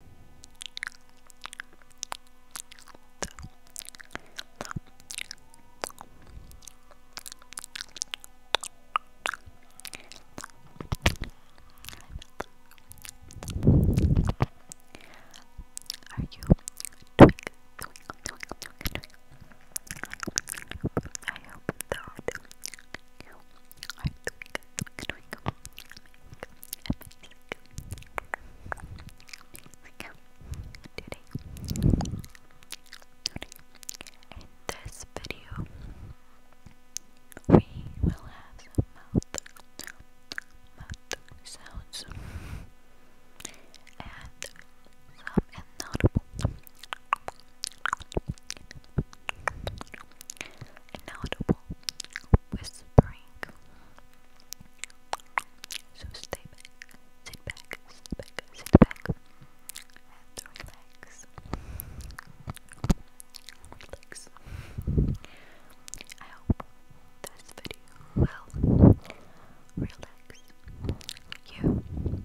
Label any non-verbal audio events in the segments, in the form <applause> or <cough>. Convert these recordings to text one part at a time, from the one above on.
Are you twink, twink, I hope you are twink, twink, twink in this video, we will have some mouth, mouth sounds and some inaudible, inaudible whispering. So stay back, sit back, sit back, sit back, and relax. Relax. I hope this video will relax you.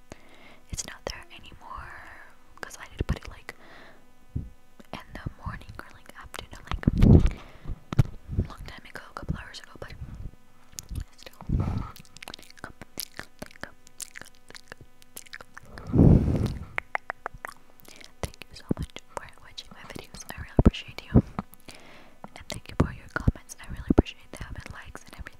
It's not there anymore because I need to put it like in the morning or like afternoon, like long time ago, a couple hours ago, but still. Thank you so much for watching my videos. I really appreciate you. And thank you for your comments. I really appreciate them and likes and everything.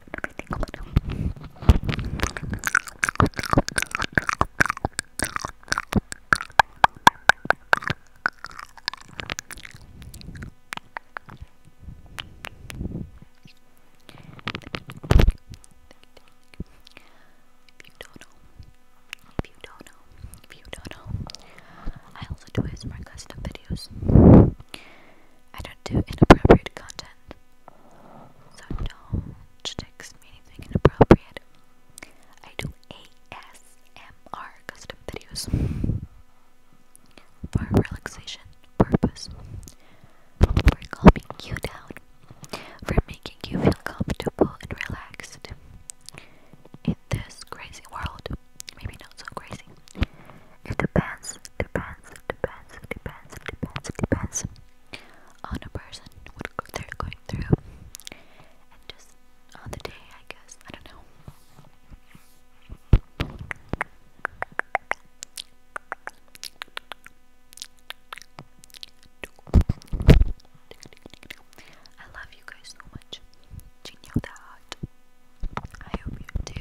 If you don't know, if you don't know, if you don't know, I also do ASMR custom videos. I don't do inappropriate content. So don't text me anything inappropriate. I do ASMR custom videos for relaxation purpose. For calming you down, for making you feel comfortable and relaxed in this crazy world. Maybe not so crazy. It depends, depends, depends, depends, depends, depends on the person, what they're going through, and just on the day, I guess. I don't know. I love you guys so much. Do you know that? I hope you do.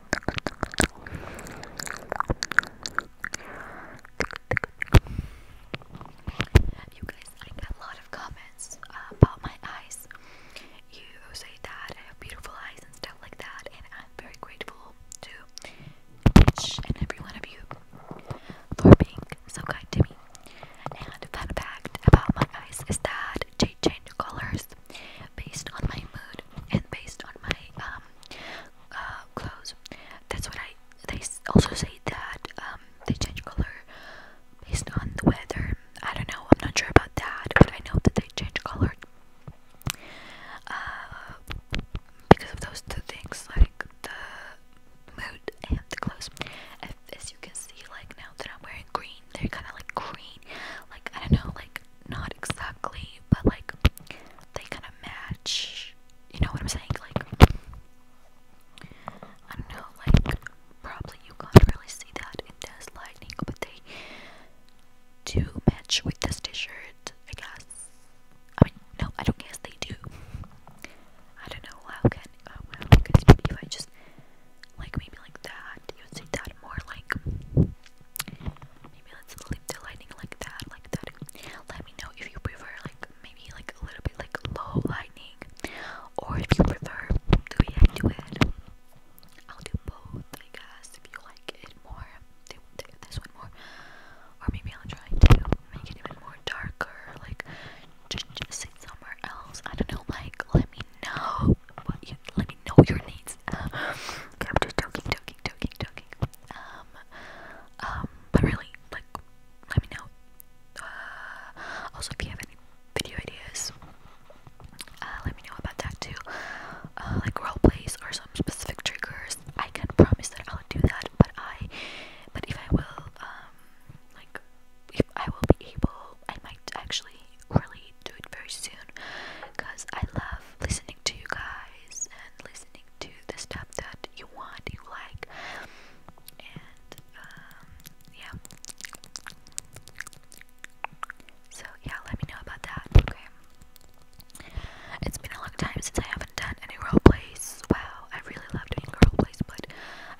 You guys, I get a lot of comments uh, about my eyes. You say that I have beautiful eyes and stuff like that, and I'm very grateful to each and every one of you for being so kind to me. And fun fact about my eyes is that they change colors based on my mood and based on my um, uh, clothes. That's what I. They also say that um, they change color based on the weather. I don't know. I'm not sure about that, but I know that they change color uh, because of those two things, like the mood and the clothes. If, as you can see, like now that I'm wearing green, they're kind of like green. Like I don't know, like not exactly, but like they kind of match. You know what I'm saying? Like, I don't know, like, probably you can't really see that in this lighting, but they do match with this t shirt, I guess. I mean, no, I don't guess they do. I don't know how can, oh, because maybe if I just, like, maybe like that that. You would that more like maybe let's leave the lighting like that, like that. Let me know if you prefer like maybe like a little bit like low lighting, or if you prefer the way I to it. I'll do both, I guess. If you like it more, do this one more, or maybe I'll try to make it even more darker, like just, just sit somewhere else. I don't know. Like, let me know what you let me know your needs. Uh, <laughs> okay, I'm just joking, joking, joking, joking. Um, um, but really, like, let me know. Uh, also, if you have any video ideas, uh, let me know about that too. Uh, like role plays or some specific triggers. I can promise that I'll do that, but I, but if I will, um, like if I will be able, I might actually really do it very soon because I love listening to you guys and listening to the stuff that you want, you like, and um, yeah. So, yeah, let me know about that, okay? It's been a long time since I haven't done any role plays. Wow, I really love doing role plays, but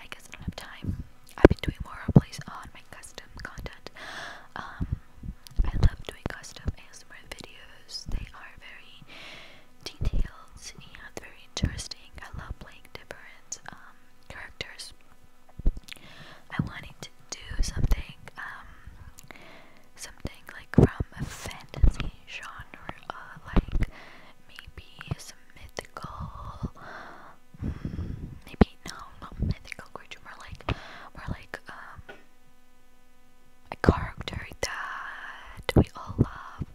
I guess I don't have time. I've been doing more plays on my custom content. Um, I love doing custom ASMR videos. They are very detailed and very interesting. I love playing different um, characters. I wanted to do something, um, something like from a fantasy genre, uh, like maybe some mythical maybe no, not mythical creature, more like more like um, a character that we all love.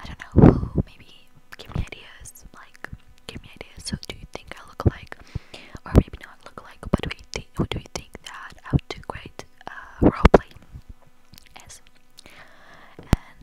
I don't know who, maybe give me ideas, like give me ideas. So do you think I look like or maybe not look like but do what do you think that I would do great uh roleplay and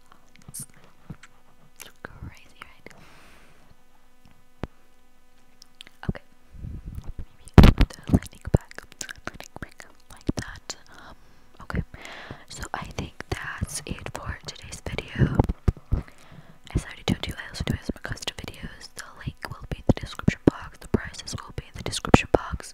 Okay, okay, so I think that's it for today's video. If I already told you, I also do some custom videos. The link will be the description box. The prices will be in the description box.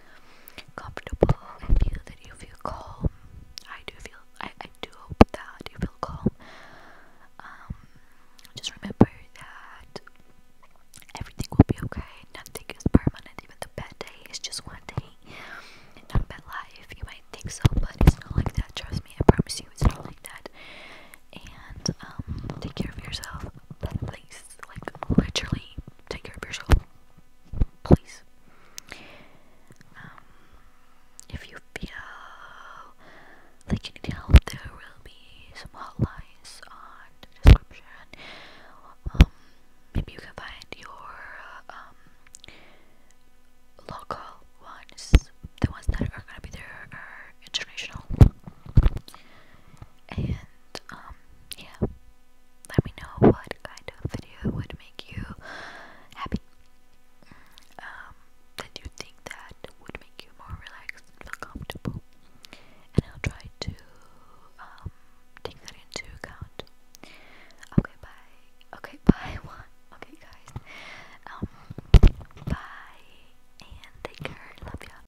comfortable and feel that you feel calm. I do feel I, I do hope that you feel calm. Um just remember that everything will be okay. Nothing is permanent, even the bad day is just one day. Not a bad life. You might think so, but it's not like that, trust me, I promise you it's not like that. And um take care of yourself. Please like literally take care of yourself. Please. Um, if you feel like you need help, there will be some hotlines on the description. Um, maybe you can find your um, local ones. The ones that are gonna be there are international um yeah let me know what kind of video would make you happy um that you think that would make you more relaxed and feel comfortable and I'll try to um take that into account okay bye okay <laughs> bye okay guys um bye and take care love ya